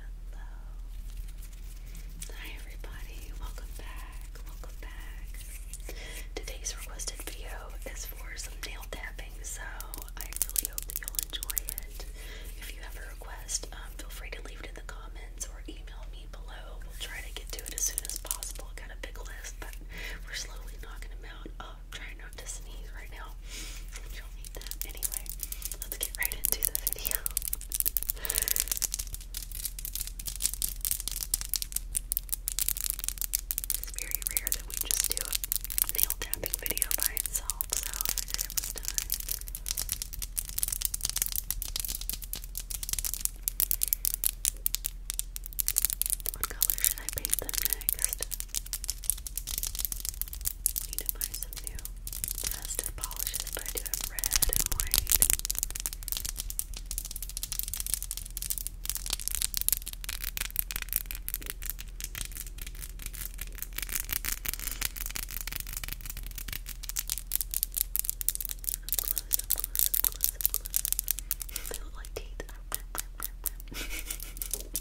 Hello, Hi, everybody. Welcome back. Welcome back. Today's requested video is for some nail tapping, so I really hope you'll enjoy it. If you have a request, um, feel free to leave it in the comments or email me below. We'll try to get to it as soon as possible. Got a big list, but we're slowly knocking them out. Um, I'm trying not to sneeze right now. You'll need that. Anyway, let's get right into the video. It's very rare that we just do a nail tapping video by itself, so I figured time. What color should I paint them next? Need to buy some new festive polishes, I do have red and white. close, close, close, close. They look like teeth. Do you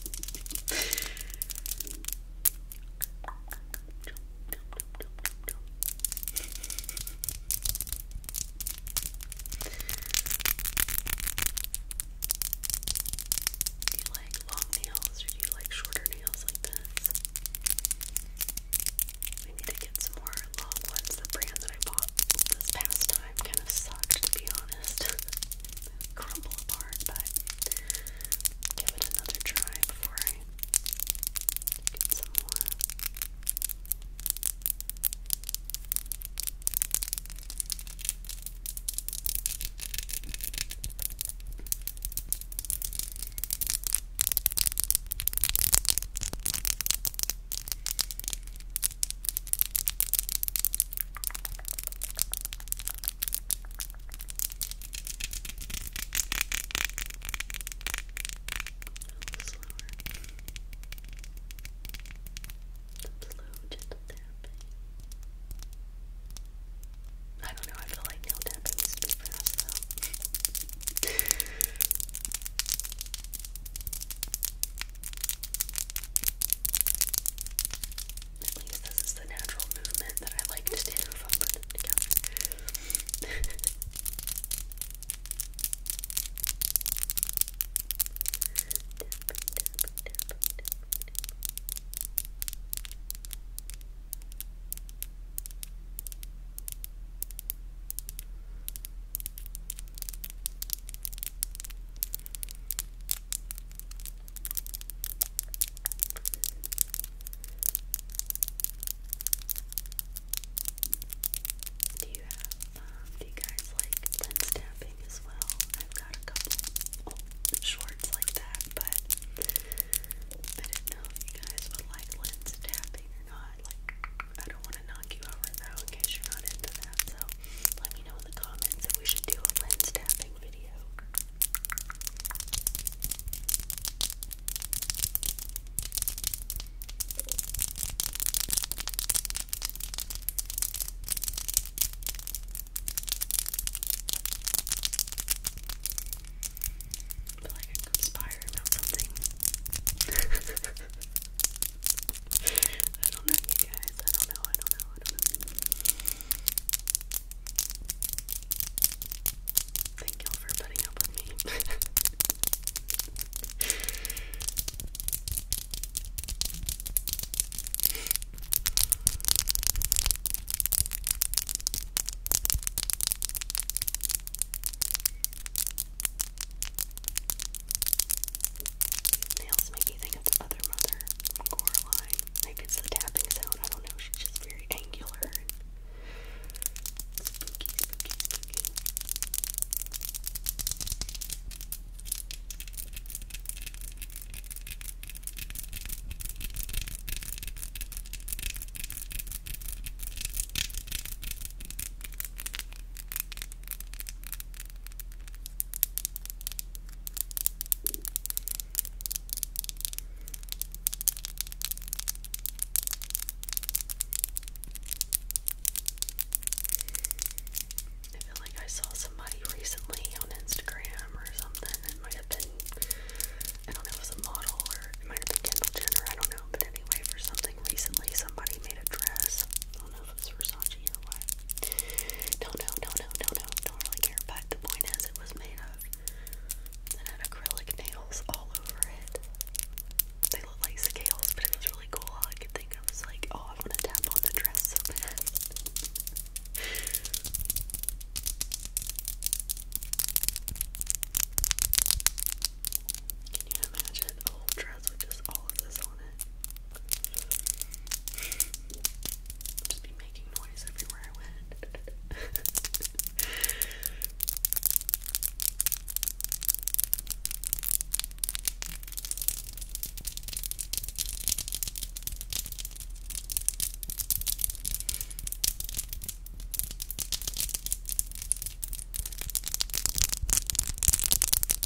like long nails or do you like shorter nails like this? We need to get some more long ones. The brand that I bought this past time kind of sucked, to be honest. Crumble apart, but give it another try before I get some more. Slow, gentle tapping. I don't know, I feel like nail tapping is too fast though. At least this is the natural movement that I like to do if i do you have, um, do you guys like lens tapping as well? I've got a couple old shorts like that, but I didn't know if you guys would like lens tapping or not. Like, I don't want to knock you let me know in the comments if we should do a lens tapping video. feel like I'm about something. I don't know, guys. I don't know. I don't know. I don't know. Thank you for putting up with me. Nails make you think of the mother, Coraline. Like it's the tapping sound. I don't know. She's just very angular spooky, spooky, spooky. I feel like I saw somebody recently on Instagram or something. It might have been, I don't know, it was a model or it might have been Kendall Jenner. I don't know. But anyway, for something recently, somebody made a dress. I don't know this Versace or what. No, no, no, no, no, no, don't But the point is, it was made of and had acrylic nails all over it. They look like scales, but it was really cool. I could think of was like, oh, I want to tap on the dress so bad. Can you imagine a dress eyebrows with just all of this on it. Just be making noise everywhere I went.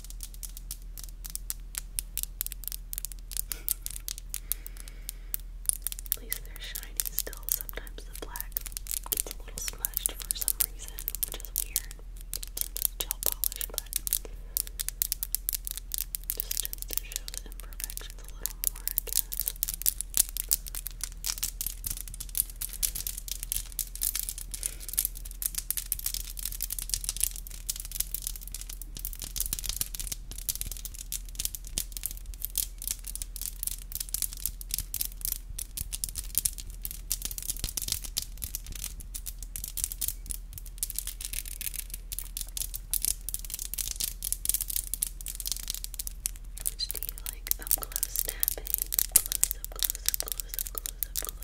At least they're shiny still. Sometimes the black gets a little smudged for some reason, which is weird. gel polish, but just to show the imperfections a little more, do you like up close tapping? Close up, close up, close up, close up,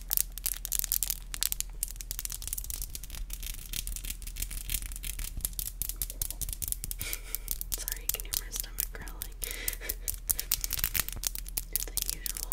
Sorry, you can hear my stomach growling. it's the usual.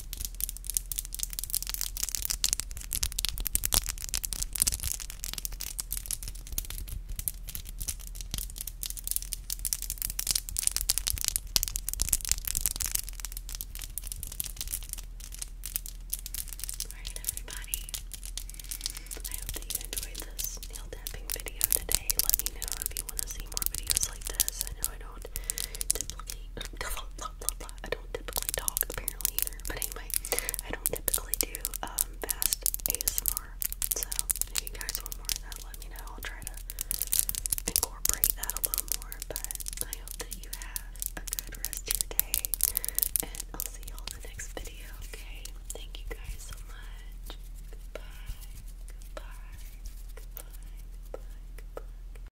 Alright, everybody. I hope that you enjoyed this nail tapping video today. Let me know if you want to see more videos like this. I know I don't typically I don't typically talk apparently either. But anyway, I don't typically do um, fast ASMR. So if you guys want more of that, let me know. I'll try to incorporate that a little more. But I hope that you have a good rest of your day. And I'll see y'all in the next video, okay? Thank you guys so much. Goodbye. Goodbye. Goodbye. Goodbye. Goodbye.